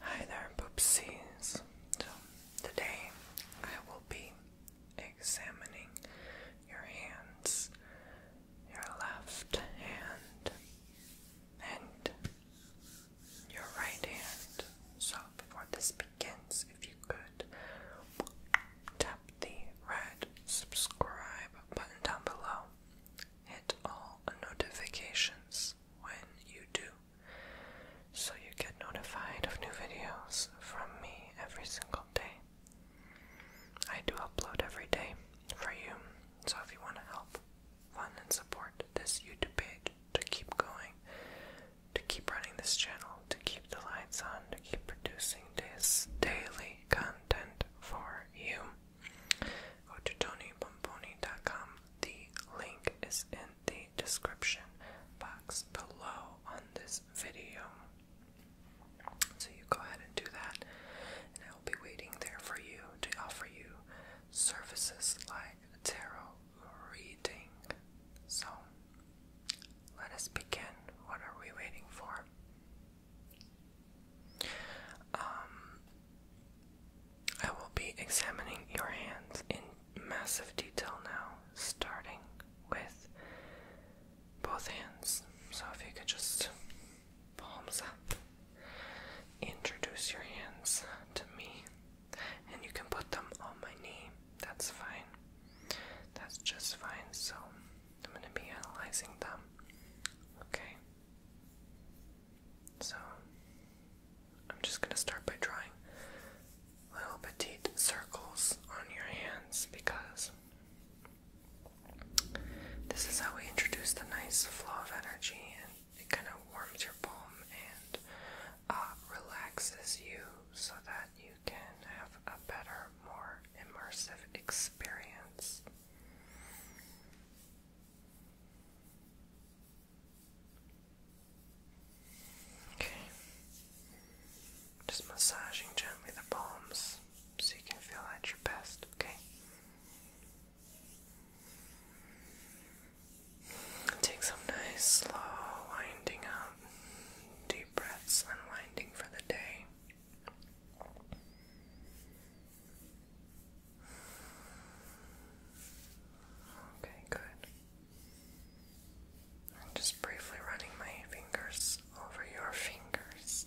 Hi there, poopsies. So, today I will be examining your hands, your left hand, and your right hand. So, before this begins, if you could tap the red subscribe button down below hit all notifications when you do, so you get notified of new videos from me every single day. I do upload every day for you, so if you want to help fund and support this YouTube page to keep going, to keep running this channel, to keep the lights on, to keep producing this daily content for you go to TonyPomponi.com. The link is in the description box below on this video. So you go ahead and do that, and I will be waiting there for you to offer you services like tarot reading. So let us begin. What are we waiting for? Um, I will be examining your hands in massive detail now, starting with both hands. So if you could just palms up, introduce your hands to me, and you can put them on my knee. That's fine. That's just fine. So I'm going to be analyzing them. Okay. So I'm just going to start by drawing little petite circles on your hands because this is how we introduce the nice flow of energy and it kind of warms your palm and uh, relaxes you so that you can have a better, more immersive experience. Okay. Just massaging gently the palms so you can feel at your best, okay? Take some nice, slow winding out, um, deep breaths, unwinding for the day. Okay, good. I'm just briefly running my fingers over your fingers.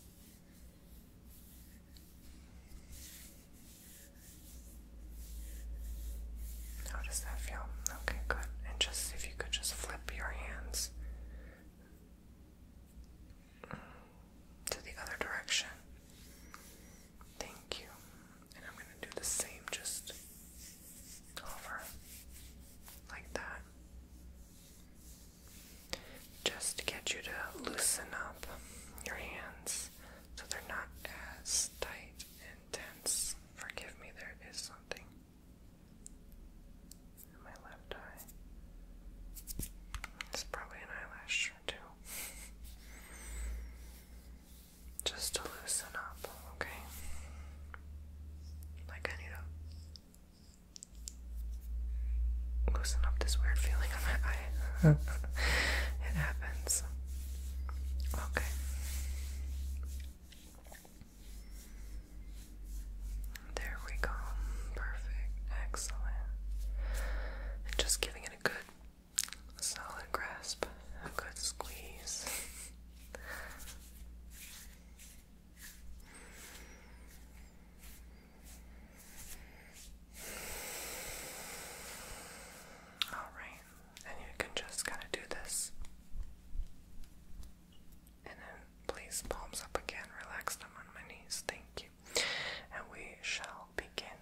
How does that feel? Okay, good. And just if you could just flip your hands to the other direction. Thank you. And I'm going to do the same, just over like that. Just to get you to loosen up your hands so they're not as tight and tense. Forgive me, there is something in my left eye. It's probably an eyelash. Just to loosen up, okay? Like I need to loosen up this weird feeling on my eye. it happens. Okay. There we go. Perfect. Excellent. just giving it a good solid grasp, a good squeeze. All right, and you can just kind of do this, and then please palms up again. Relax them on my knees. Thank you and we shall begin.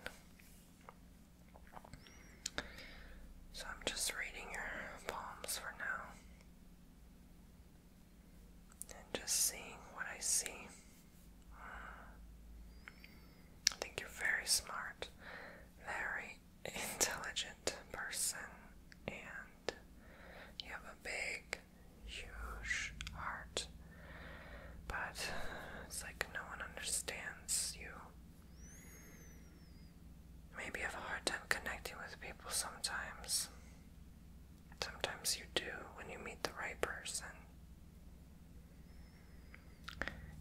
So I'm just reading your palms for now and just seeing what I see. I think you're very smart, very intelligent person, and you have a big huge heart, but it's like no one understands you. Maybe have a hard time connecting with people sometimes. Sometimes you do when you meet the right person.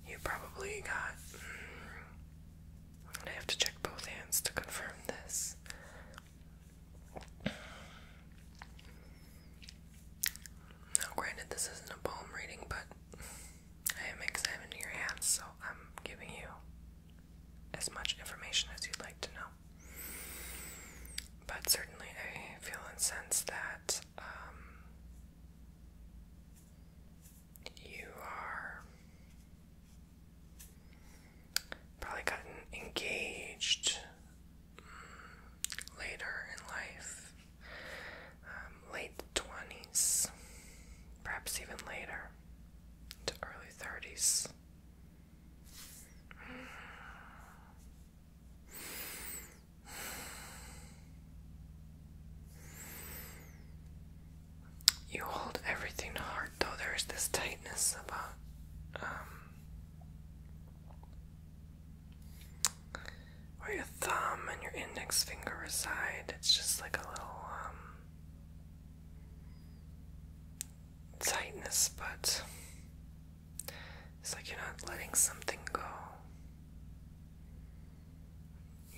You probably got. Mm, I have to check both hands to confirm this. Now, granted, this isn't a poem reading, but I am examining your hands, so I'm giving you as much information as you'd like to know. But certainly, I feel and sense that um, you are probably gotten engaged later in life, um, late 20s, perhaps even later, to early 30s. You hold everything hard, though there's this tightness about um, where your thumb and your index finger reside, it's just like a little um, tightness, but it's like you're not letting something go.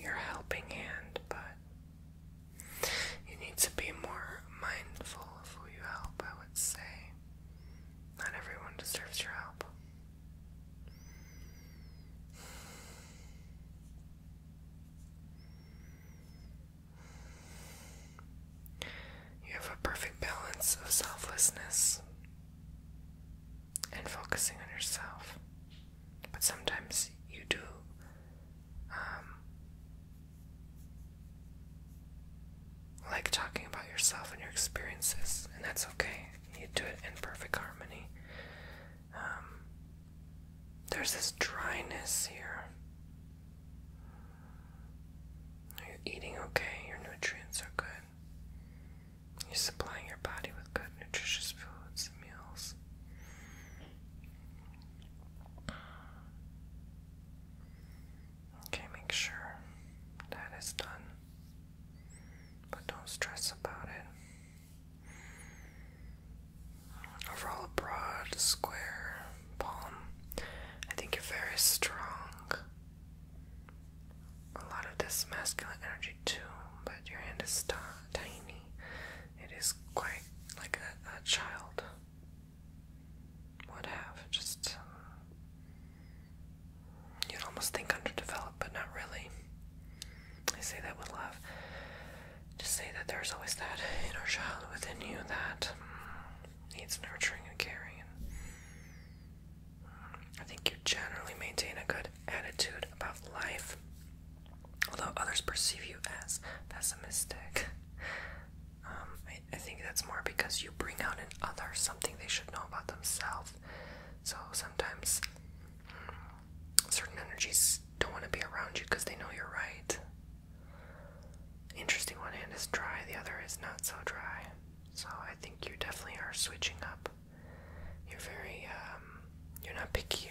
Your helping hand, but you need to be more mindful of who you help, I would say. Not everyone deserves your help. You have a perfect balance of selflessness and focusing on yourself. But sometimes you do um, like talking about yourself and your experiences, and that's okay. You do it in perfect harmony. Um, there's this dryness here. you Are eating okay? Your nutrients are good. You're supplying your body with good, nutritious foods and meals. Okay, make sure that is done. But don't stress about it. Overall, broad, square palm. I think you're very strong. A lot of this masculine energy, too, but your hand is tiny. It is quite like a child would have. Just um, you'd almost think underdeveloped, but not really. I say that with love. Just say that there's always that inner child within you that mm, needs nurturing and caring. Mm, I think you generally maintain a good attitude about life, although others perceive you as pessimistic. Um, I, think that's more because you bring out in others something they should know about themselves. So sometimes mm, certain energies don't want to be around you because they know you're right. Interesting, one hand is dry, the other is not so dry. So I think you definitely are switching up. You're very, um, you're not picky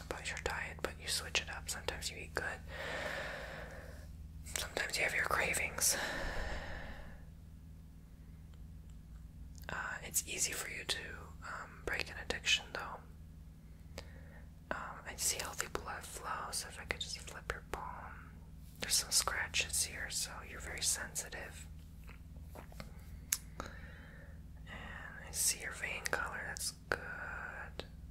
about your diet, but you switch it up. Sometimes you eat good, Sometimes you have your cravings. Uh, it's easy for you to um, break an addiction, though. Um, I see healthy blood flow, so if I could just flip your palm. There's some scratches here, so you're very sensitive. And I see your vein color, that's good.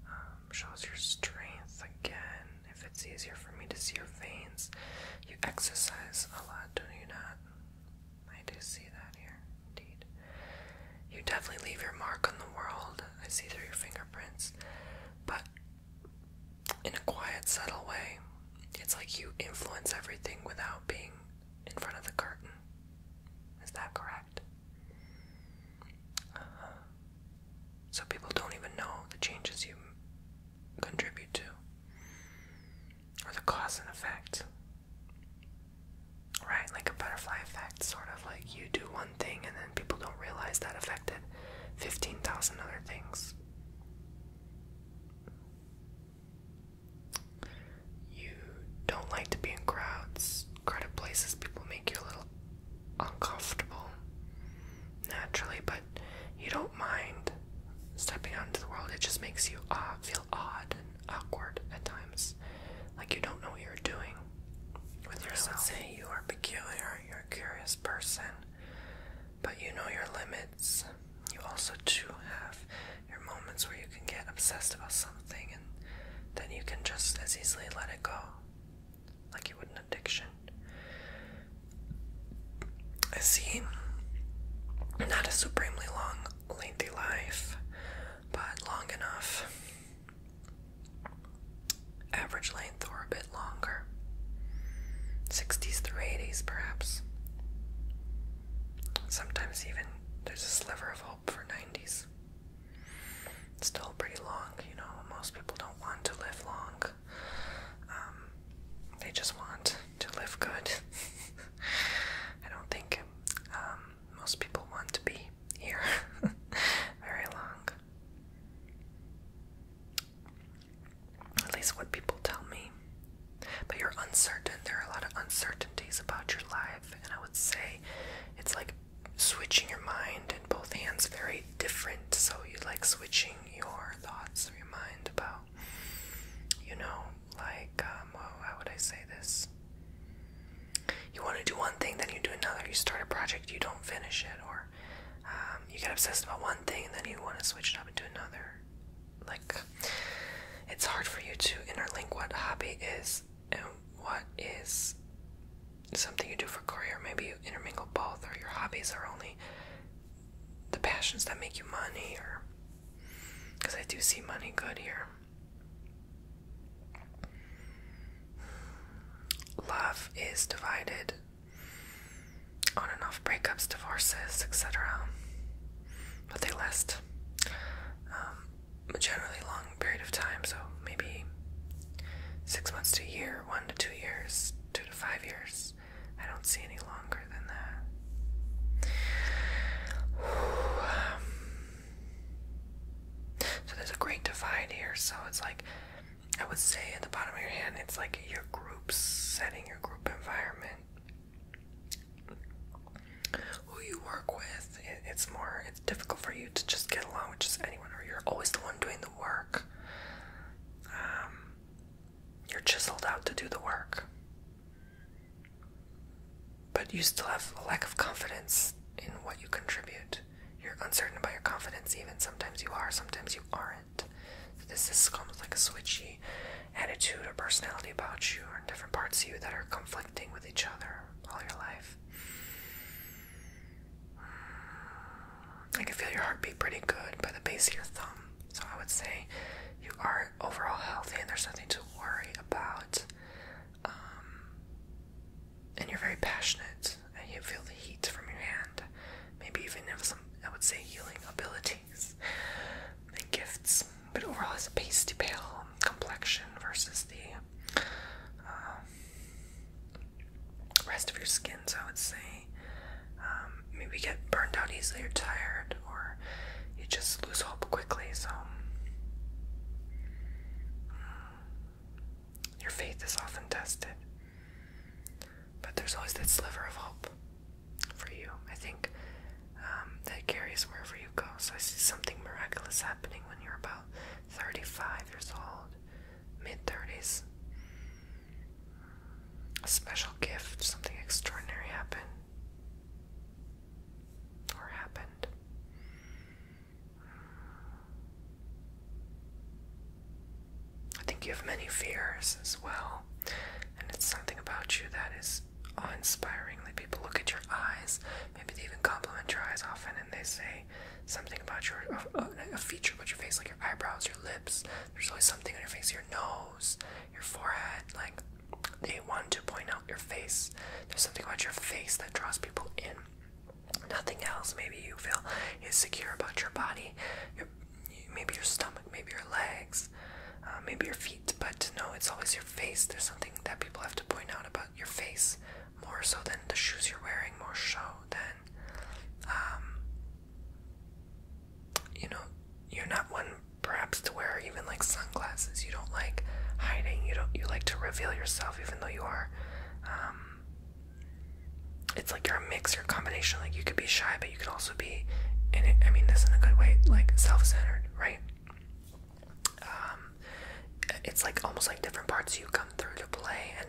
Um, shows your strength again if it's easier for me to see your veins. You exercise a lot, do you not? I do see that here, indeed. You definitely leave your mark on the world. I see through your fingerprints. But in a quiet, subtle way, it's like you influence everything without being in front of the curtain. Is that correct? Uh, so people don't even know the changes you contribute to, or the cause and effect. Right, like a butterfly effect, sort of like you do one thing and then people don't realize that affected 15,000 other things. You don't like to be in crowds, crowded places, people make your little uncomfortable naturally, but you don't mind stepping out into the world. It just makes you uh, feel odd and awkward at times, like you don't know what you're doing with yourself. I say you are peculiar, you're a curious person, but you know your limits. You also do have your moments where you can get obsessed about something and then you can just as easily let it go like you would an addiction. I see not a supremely long, lengthy life, but long enough. Average length or a bit longer. 60s through 80s, perhaps. Sometimes even there's a sliver of hope for 90s still pretty long, you know. Most people don't want to live long, um, they just want to live good. I don't think um, most people want to be here very long. At least what people tell me. But you're uncertain. There are a lot of uncertainties about your life, and I would say it's like switching your mind and both hands very different, so you like switching your thoughts or your mind about, you know, like, um, oh, how would I say this? You want to do one thing, then you do another. You start a project, you don't finish it, or um, you get obsessed about one thing, and then you want to switch it up into another. Like, it's hard for you to interlink what hobby is and what is something you do for career. Maybe you intermingle both, or your hobbies are only the passions that make you money, or because I do see money good here. Love is divided on and off breakups, divorces, etc. But they last um, a generally long period of time, so maybe Six months to a year, one to two years, two to five years. I don't see any longer than that. Um, so there's a great divide here. So it's like, I would say at the bottom of your hand, it's like your group setting, your group environment, who you work with. it's more it's difficult for you to just get along with just anyone, or you're always the one doing the work. Um, you're chiseled out to do the work. But you still have a lack of confidence in what you contribute. You're uncertain about your confidence, even. Sometimes you are, sometimes you aren't. this is almost like a switchy attitude or personality about you, or different parts of you that are conflicting with each other all your life. I can feel your heartbeat pretty good by the base of your thumb. So I would say you are overall healthy and there's nothing to worry about. Um, and you're very passionate and you feel the heat from your hand. Maybe even have some, I would say, healing abilities and gifts. But overall, has a pasty pale complexion versus the um, rest of your skins, I would say. maybe um, get burned out easily or tired, or you just lose hope quickly. So, um, your faith is often tested, but there's always that sliver of hope for you. I think that carries wherever you go. So, I see something miraculous happening when you're about 35 years old mid 30s. A special gift, something extraordinary happened. Or happened. I think you have many fears as well, and it's something about you that is awe inspiring. That people look at your eyes, maybe they even compliment your eyes often, and they say, something about your a feature about your face, like your eyebrows, your lips. There's always something on your face, your nose, your forehead. Like they want to point out your face. There's something about your face that draws people in. Nothing else. Maybe you feel insecure about your body, maybe your stomach, maybe your legs, uh, maybe your feet. But no, it's always your face. There's something that people have to point out about your face more so than the shoes you're wearing. More so then um, you know you're not one perhaps to wear even like sunglasses you don't like hiding you don't you like to reveal yourself even though you are um, it's like you're a mix you're a combination like you could be shy but you could also be and it, i mean this in a good way like self-centered right um, um, it's like almost like different parts you come through to play and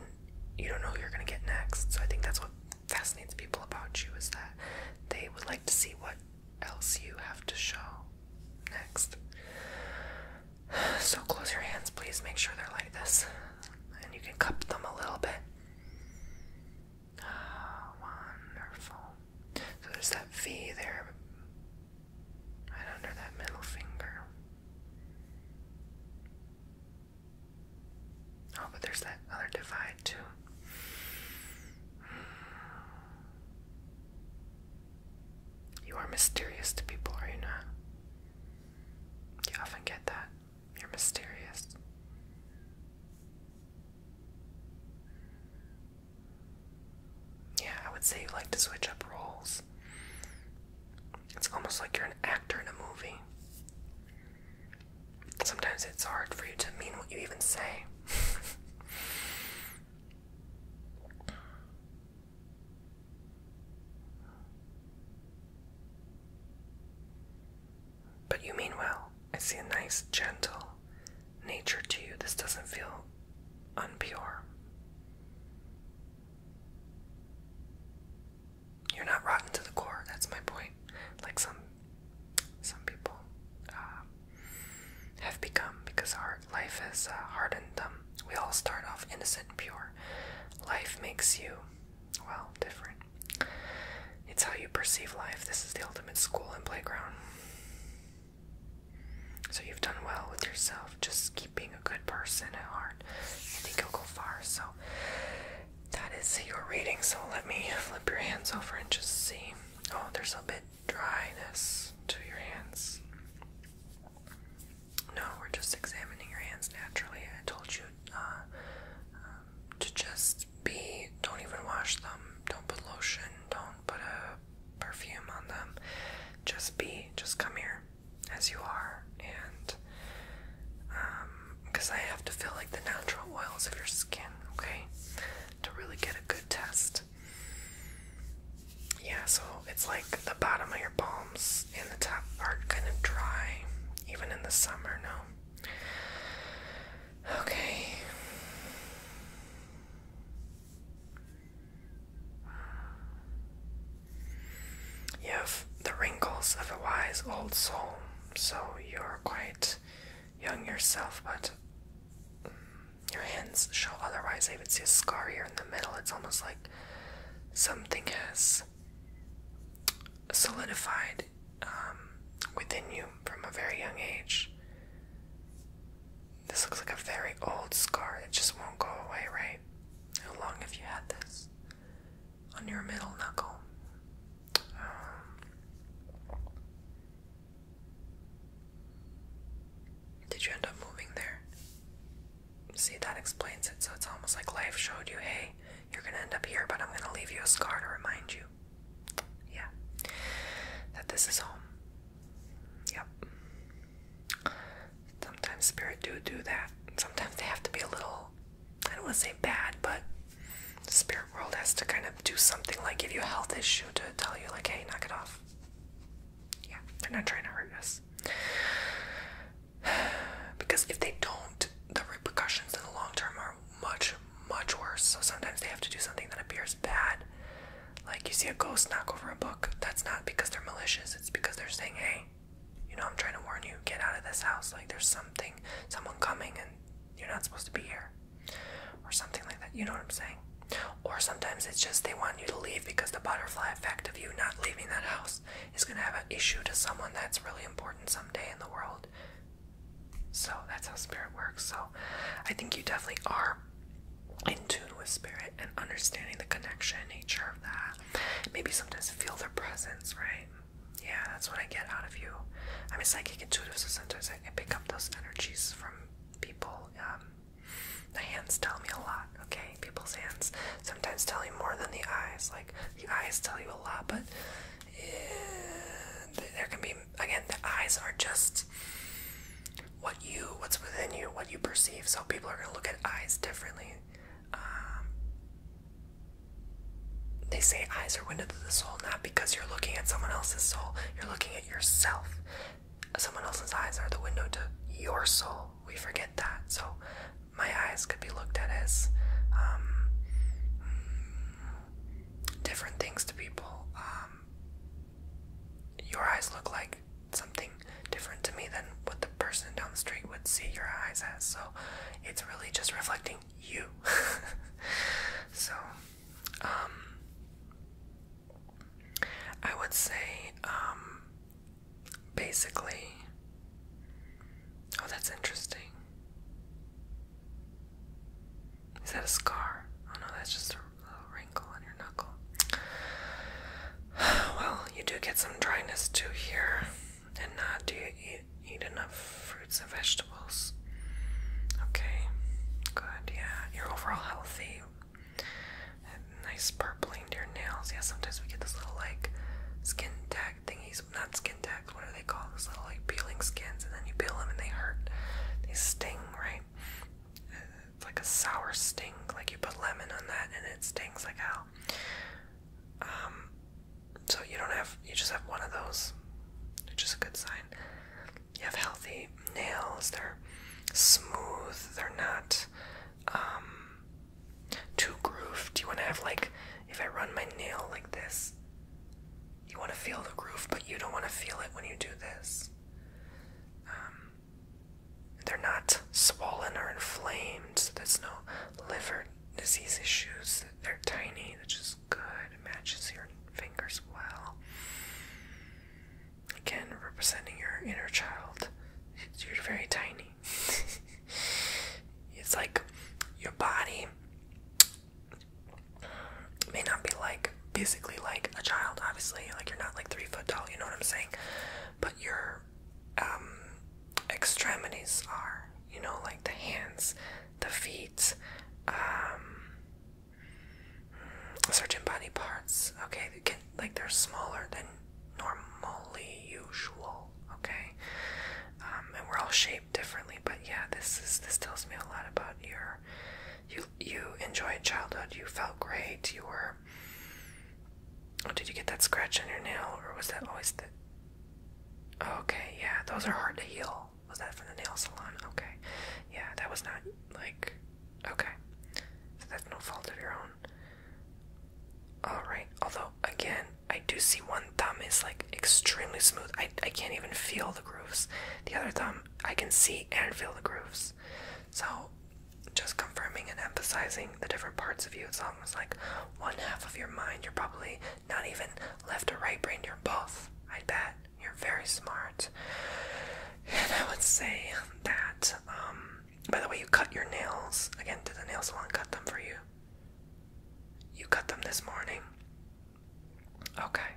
you don't know who you're gonna get next. So I think that's what fascinates people about you is that they would like to see what else you have to show next. So close your hands, please. Make sure they're like this, and you can cup them a little bit. Ah, wonderful. So there's that V there, Right under that middle finger. Oh, but there's that other divide too. You are mysterious to people, are you not? You often get that. You're mysterious. Yeah, I would say you like to switch up roles. It's almost like you're an actor in a movie. Sometimes it's hard for you to mean what you even say. But you mean well. I see a nice, gentle nature to you. This doesn't feel unpure. You're not rotten to the core. That's my point. Like some some people uh, have become because our life has uh, hardened them. Um, we all start off innocent and pure. Life makes you well different. It's how you perceive life. This is the ultimate school and playground. So you've done well with yourself. Just keep being a good person at heart. I think you'll go far. So that is your reading. So let me flip your hands over and just see. Oh, there's a bit dryness to your hands. No, we're just examining your hands naturally. I told you uh, um, to just be. Don't even wash them. Don't put lotion. Don't put a perfume on them. Just be. Just come here as you are, and because um, I have to feel like the natural oils of your skin, okay, to really get a good test. Yeah, so it's like the bottom of your palms and the top are kind of dry, even in the summer, no? Okay. You have the wrinkles of a wise old soul, so you're quite young yourself, but mm, your hands show otherwise. I even see a scar here in the middle. It's almost like something has solidified um, within you from a very young age. This looks like a very old scar. It just won't go away, right? How long have you had this? On your middle knuckle. Um, did you end up moving there? See, that explains it. So it's almost like life showed you, hey, you're gonna end up here, but I'm gonna leave you a scar to remind you. Yeah. That this is home. Yep sometimes spirit do do that. Sometimes they have to be a little, I don't want to say bad, but spirit world has to kind of do something like give you a health issue to tell you, like, hey, knock it off. Yeah, they're not trying to hurt us. Because if they don't, the repercussions in the long term are much, much worse. So sometimes they have to do something that appears bad, like you see a ghost knock over a book, that's not because they're malicious, it's because they're saying, hey, you know, I'm trying to warn you, get out of this house. Like there's something, someone coming, and you're not supposed to be here. Or something like that. You know what I'm saying? Or sometimes it's just they want you to leave because the butterfly effect of you not leaving that house is going to have an issue to someone that's really important someday in the world. So that's how spirit works. So I think you definitely are in tune with spirit and understanding the connection nature of that. Maybe sometimes feel their presence, right? Yeah, that's what I get out of you. I'm a psychic intuitive, so sometimes I, I pick up those energies from people. Um, the hands tell me a lot, okay? People's hands sometimes tell you more than the eyes. Like, the eyes tell you a lot, but eh, there can be, again, the eyes are just what you, what's within you, what you perceive. So people are going to look at eyes differently. Um, they say eyes are window to the soul, not because you're looking at someone else's soul, you're looking at yourself. Someone else's eyes are the window to your soul. We forget that. So my eyes could be looked at as um, different things to people. Um, your eyes look like something different to me than what the person down the street would see your eyes as. So it's really just reflecting you. so, um, I would say, um, basically, oh, that's interesting. Is that a scar? Oh no, that's just a little wrinkle on your knuckle. Well, you do get some dryness too here. And uh, do you eat, enough fruits and vegetables? Okay, good. Yeah, you're overall healthy. And nice purpling to your nails. Yeah, sometimes we get this little like skin tag thingies. Not skin tags. What do they call Those little like peeling skins, and then you peel them and they hurt. They sting, right? It's like a sour stink. like you put lemon on that and it stings like hell. Um, so you don't have, you just have one of those, which is a good sign. You have healthy nails, they're smooth, they're not um, too grooved. You want to have, like, if I run my nail like this, you want to feel the groove, but you don't want to feel it when you do this. Um, they're not swollen or inflamed, there's no liver disease issues. They're tiny, which is good. matches your fingers well. Again, representing your inner child. You're very tiny. it's like your body may not be like basically like a child, obviously. Like you're not like three foot tall, you know what I'm saying? but your um, extremities are, you know, like the hands, the feet, um, mm, certain body parts. Okay, they like they're smaller than normally usual. Okay, um, and we're all shaped differently, but yeah, this is this tells me a lot about your. You you enjoyed childhood, you felt great, you were Oh, did you get that scratch on your nail or was that always the Okay, yeah, those are hard to heal. Was that from the nail salon? Okay. Yeah, that was not like okay. So that's no fault of your own. Alright, although again, I do see one thumb is like extremely smooth. I I can't even feel the grooves. The other thumb I can see and feel the grooves. So just confirming and emphasizing the different parts of you. It's almost like one half of your mind, you're probably not even left or right brain, you're both. I bet you're very smart. And I would say that, um, by the way, you cut your nails. Again, did the nails want to cut them for you? You cut them this morning. Okay.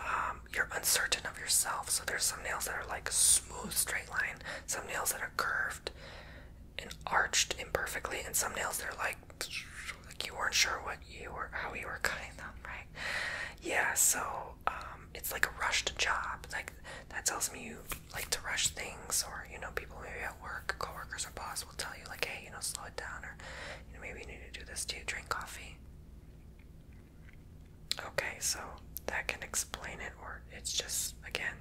Um, um, you're uncertain of yourself. So there's some nails that are like smooth, straight line, some nails that are curved and arched imperfectly, and some nails that are like like you weren't sure what you were, how you were cutting them, right? Yeah. So um, it's like a rushed job. Like that tells me you like to rush things, or you know, people maybe at work, coworkers or boss will tell you like, hey, you know, slow it down, or you know, maybe you need to do this. Do you drink coffee? Okay, so that can explain it, or it's just, again,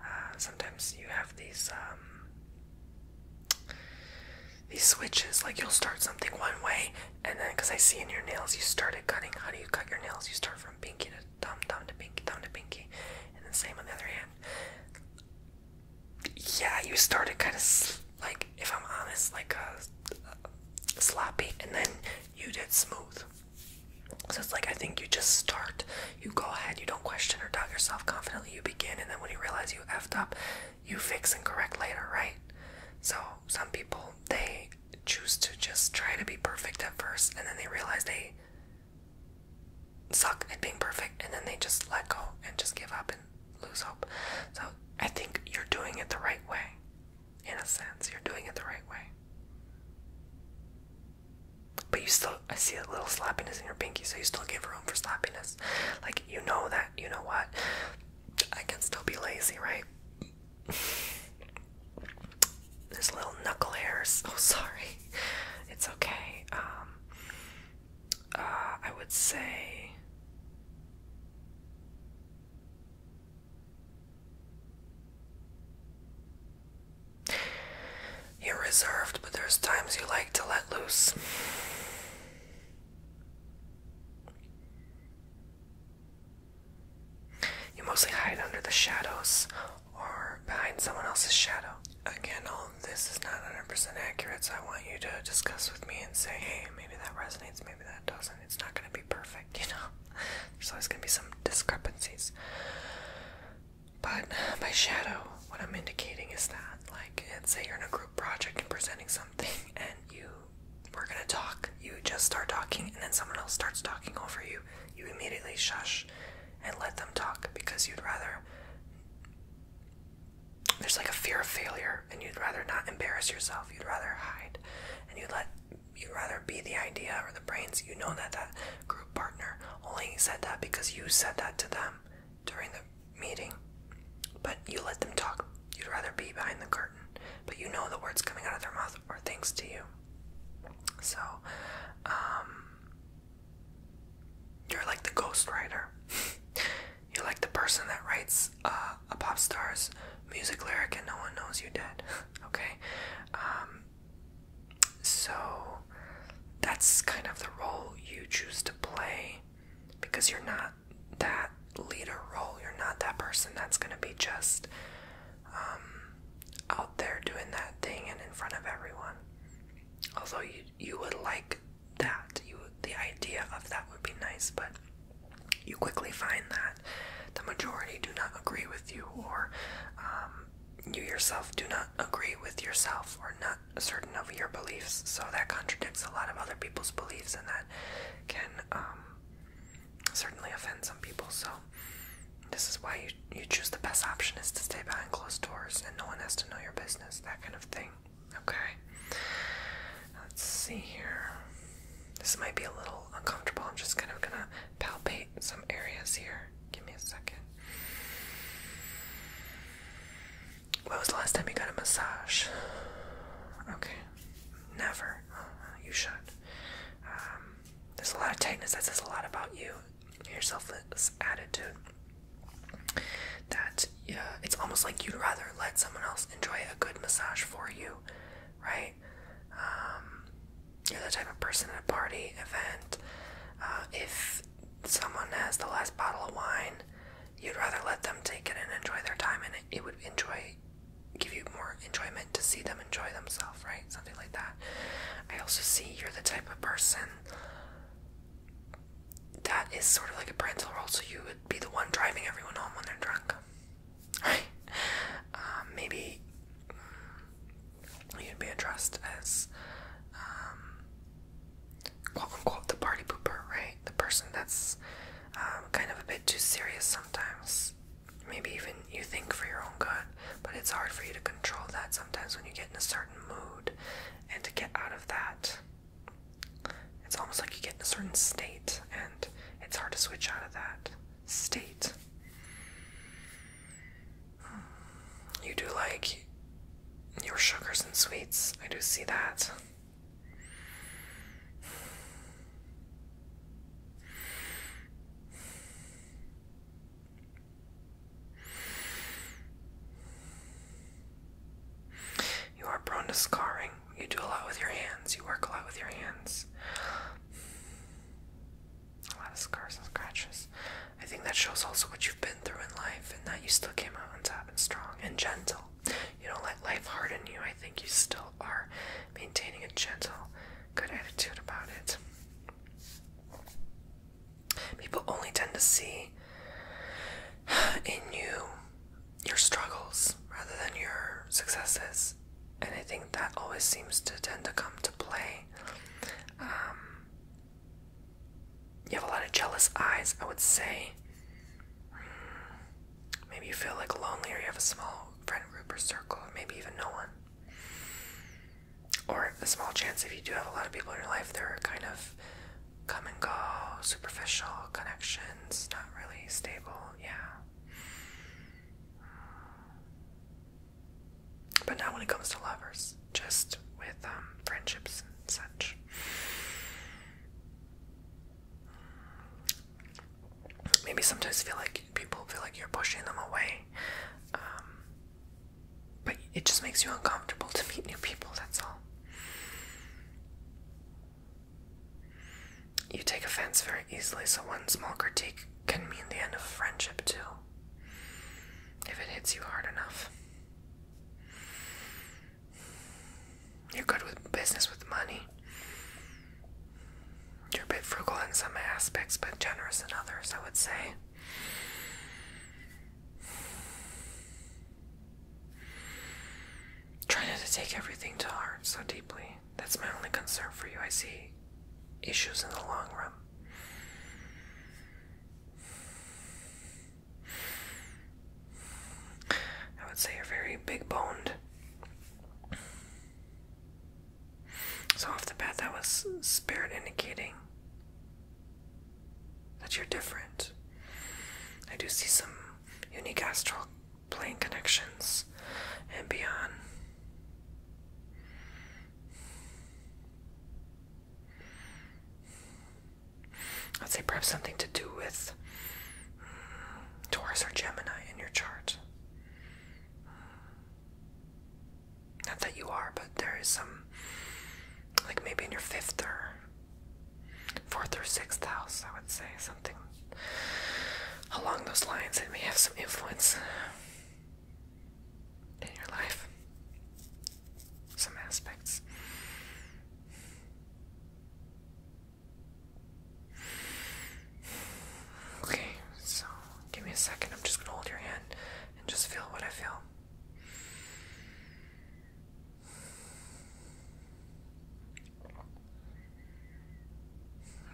uh, sometimes you have these, um, these switches, like you'll start something one way, and then, because I see in your nails, you started cutting, how do you cut your nails? You start from pinky to thumb, thumb to pinky, thumb to pinky, and the same on the other hand. Yeah, you started kind of, like, if I'm honest, like a sloppy, and then you did smooth. So it's like I think you just start, you go ahead, you don't question or doubt yourself confidently, you begin, and then when you realize you effed up, you fix and correct later, right? So some people they choose to just try to be perfect at first and then they realize they suck at being perfect and then they just let go and just give up and lose hope. So I think you're doing it the right way in a sense. You're doing it the right way. But you still, I see a little sloppiness in your pinky, so you still give room for sloppiness. Like, you know that, you know what? I can still be lazy, right? There's little knuckle hairs. Oh, sorry. It's okay. Um, uh, I would say you're reserved, but there's times you like to let loose. You mostly hide under the shadows or behind someone else's shadow. Again, all of this is not 100% accurate, so I want you to discuss with me and say, hey, maybe that resonates, maybe that doesn't. It's not going to be perfect you know, there's always gonna be some discrepancies. But by shadow, what I'm indicating is that, like, let's say you're in a group project and presenting something, and you were gonna talk. You just start talking, and then someone else starts talking over you. You immediately shush and let them talk because you'd rather. There's like a fear of failure, and you'd rather not embarrass yourself. You'd rather hide, and you let you'd rather be the idea or the brains. You know that that group partner only said that because you said that to them during the meeting. But you let them talk. You'd rather be behind the curtain. But you know the words coming out of their mouth are thanks to you. So, um, you're like the ghostwriter. you're like the person that writes uh, a pop star's music lyric and no one knows you are dead. okay? Um, so that's kind of the role you choose to play because you're not that leader role. You're not that person that's going to be just um, out there doing that thing and in front of everyone. Although you, you would like that, you the idea of that would be nice, but you quickly find that the majority do not agree with you, or um, you yourself do not agree with yourself, or not certain of your beliefs. So that contradicts a lot of other people's beliefs, and that can um, certainly offend some people. So this is why you, you choose the best option is to stay behind closed doors, and no one has to know your business, that kind of thing. Okay. Let's see here. This might be a little uncomfortable. I'm just kind of gonna palpate some areas here. Give me a second. When was the last time you got a massage? Okay, never. Uh-huh. You should. Um, there's a lot of tightness. That says a lot about you, your selfless attitude. That yeah, uh, it's almost like you'd rather let someone else enjoy a good massage for you, right? Um, you're the type of person at a party event. Uh, if someone has the last bottle of wine, you'd rather let them take it and enjoy their time, and it, it would enjoy, give you more enjoyment to see them enjoy themselves, right? Something like that. I also see you're the type of person that is sort of like a parental role, so you would be the one driving everyone home when they're drunk. um, maybe um, you'd be addressed as um, quote unquote the party pooper, right? The person that's um, kind of a bit too serious sometimes. Maybe even you think for your own good, but it's hard for you to control that sometimes when you get in a certain mood and to get out of that. It's almost like you get in a certain state it's hard to switch out of that state. You do like your sugars and sweets. I do see that. You are prone to scarring you do a lot with your hands. You work a lot with your hands. A lot of scars and scratches. I think that shows also what you've been through in life and that you still came out on top and strong and gentle. You don't let life harden you. I think you still are maintaining a gentle, good attitude about it. People only tend to see in you your struggles rather than your successes. And I think that always seems to tend to come to play. Um, you have a lot of jealous eyes, I would say. Maybe you feel like lonely or you have a small friend group or circle, or maybe even no one. Or a small chance if you do have a lot of people in your life, they're kind of come and go, superficial connections, not really stable, yeah. But not when it comes to lovers, just with um, friendships and such. Maybe sometimes feel like people feel like you're pushing them away, um, but it just makes you uncomfortable to meet new people. That's all. You take offense very easily, so one small critique can mean the end of friendship, too, if it hits you hard enough. You're good with business with money. You're a bit frugal in some aspects, but generous in others, I would say. Trying to take everything to heart so deeply. That's my only concern for you. I see issues in the long run. I would say you're very big boned. So, off the bat, that was spirit indicating that you're different. I do see some unique astral plane connections and beyond. I'd say perhaps something to do with mm, Taurus or Gemini in your chart. Not that you are, but there is some, like maybe in your fifth or fourth or sixth house, I would say, something along those lines. It may have some influence in your life, some aspects. Okay, so give me a second. I'm just going to hold your hand and just feel what I feel.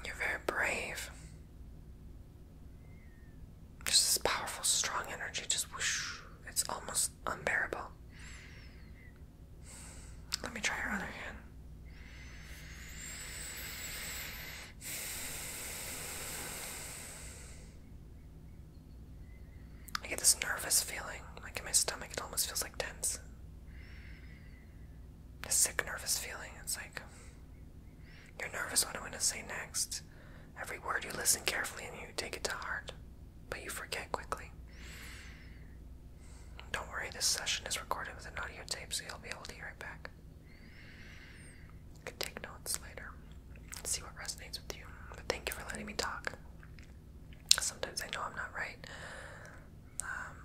You're very brave. Just this powerful, strong energy, just whoosh. It's almost unbearable. Let me try your hand. I get this nervous feeling, like in my stomach, it almost feels like tense this sick nervous feeling. It's like you're nervous what I'm gonna say next. Every word you listen carefully and you take it to heart, but you forget quickly. Don't worry, this session is recorded with an audio tape, so you'll be able to hear it back. You can take notes later see what resonates with you. But thank you for letting me talk. Sometimes I know I'm not right, um,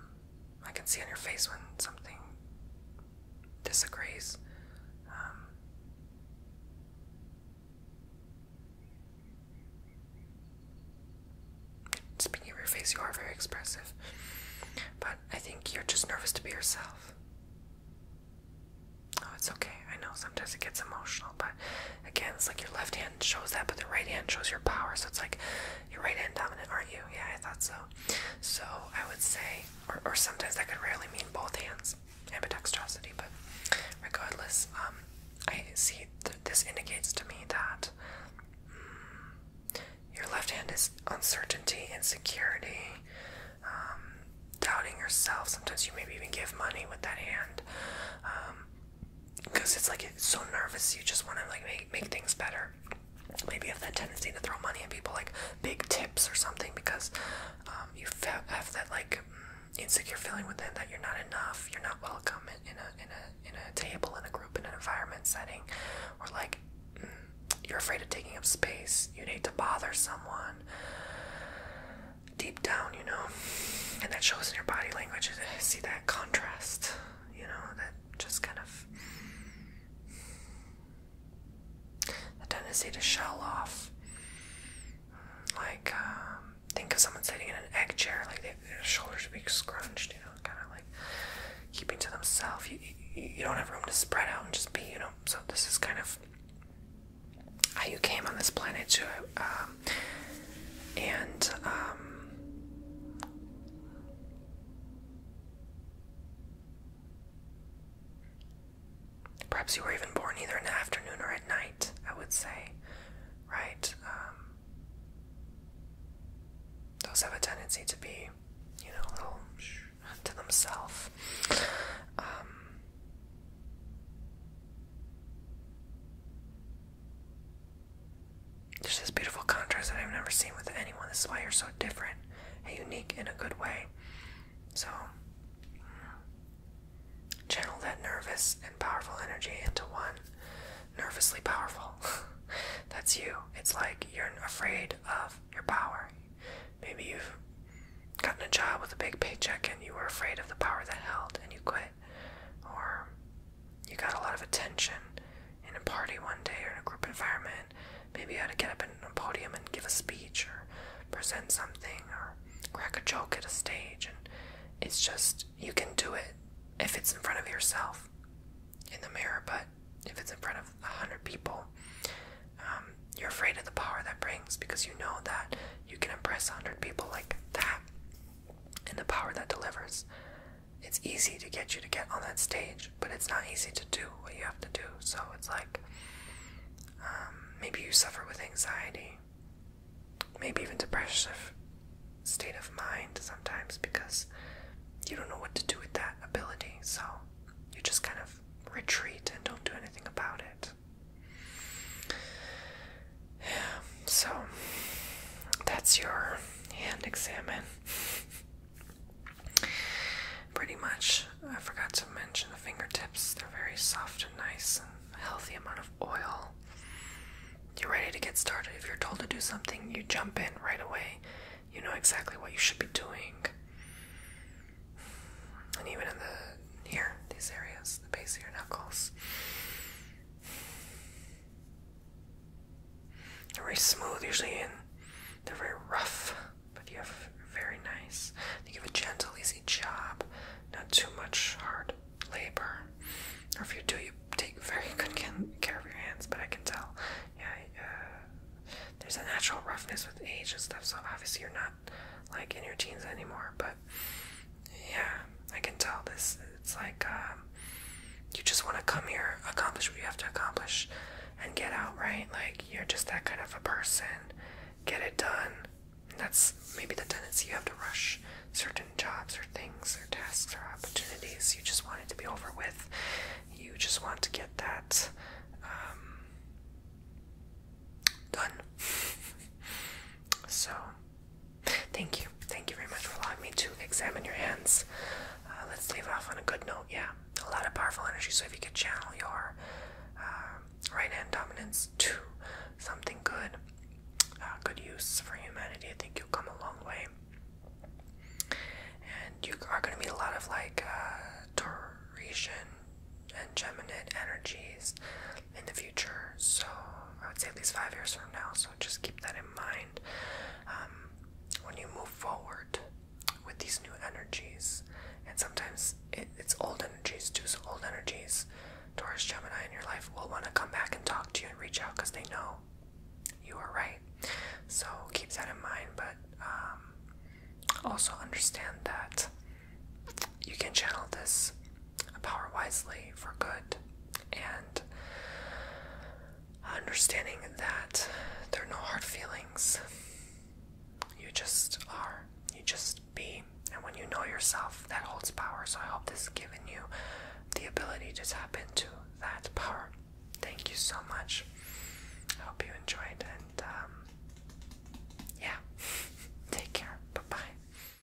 I can see on your face when something disagrees. Um, speaking of your face, you are very expressive. But I think you're just nervous to be yourself. Oh, it's okay. I know sometimes it gets emotional, but again, it's like your left hand shows that, but the right hand shows your power. So it's like your right hand dominant, aren't you? Yeah, I thought so. So I would say, or, sometimes that could really mean both hands, ambidexterity. But regardless, um, I see this indicates to me that mm, your left hand is uncertainty, insecurity, um, doubting yourself. Sometimes you maybe even give money with that hand. Um, because it's like it's so nervous you just want to like make, make things better maybe you have that tendency to throw money at people like big tips or something because um, you have that like mm, insecure feeling within that you're not enough you're not welcome in, in a in a in a table in a group in an environment setting or like mm, you're afraid of taking up space you need to bother someone deep down you know, and that shows in your body language. Eh, see that contrast, you know, that just kind of the tendency to shell off. Like, um, think of someone sitting in an egg chair, like they, their shoulders would be scrunched, you know, kind of like keeping to themselves. You, you, you don't have room to spread out and just be, you know. So this is kind of how you came on this planet to uh, and um, perhaps you were even born either in the afternoon or at night, I would say, right? Um, those have a tendency to be, you know, a little to themselves. Um, there's this beautiful contrast that I've never seen with anyone. This is why you're so different and unique in a good way. So, channel that nervous and powerful energy into one nervously powerful. That's you. It's like you're afraid of your power. Maybe you've gotten a job with a big paycheck and you were afraid of the power that held and you quit or you got a lot of attention in a party one day or in a group environment. Maybe you had to get up in a podium and give a speech or present something or crack a joke at a stage. And it's just, you can do it if it's in front of yourself in the mirror, but if it's in front of a hundred people, um, you're afraid of the power that brings because you know that you can impress a hundred people like that and the power that delivers. It's easy to get you to get on that stage, but it's not easy to do what you have to do. So it's like um, maybe you suffer with anxiety, maybe even depressive state of mind sometimes because you don't know what to do with that ability. So you just kind of retreat and don't do anything about it. So that's your hand examine. Pretty much, I forgot to mention the fingertips. They're very soft and nice, and healthy amount of oil. You're ready to get started. If you're told to do something, you jump in right away. You know exactly what you should be doing. And even in the here, these areas, the base of your knuckles, they're very smooth usually, and they're very rough. But you have very nice. They give a gentle, easy job, not too much hard labor. Or if you do, you take very good care of your hands. But I can tell, yeah, uh, there's a natural roughness with age and stuff. So obviously, you're not like in your teens anymore. But yeah, I can tell this. It's like um, you just want to come here, accomplish what you have to accomplish, and get out, right? Like you're just that kind of a person. Get it done. that's maybe the tendency you have to rush certain jobs or things or tasks or opportunities. You just want it to be over with. You just want to get that um, done. so Thank you. Thank you very much for allowing me to examine your hands. Uh, let's leave off on a good note. Yeah, a lot of powerful energy. So if you could channel your uh, right hand dominance to something good, uh, good use for humanity, I think you'll come a long way. And you are going to meet a lot of like uh, Taurasian and Geminid energies, in the future. So I would say at least five years from now. So just keep that in mind um, when you move forward with these new energies. And sometimes it's old energies too. So old energies, Taurus, Gemini in your life will want to come back and talk to you and reach out because they know you are right. So keep that in mind, but um, also understand that you can channel this uh, power wisely for good and understanding that there are no hard feelings. You just are. You just be. And when you know yourself, that holds power. So I hope this has given you the ability to tap into that power. Thank you so much. I hope you enjoyed and um, yeah. Take care. Bye bye.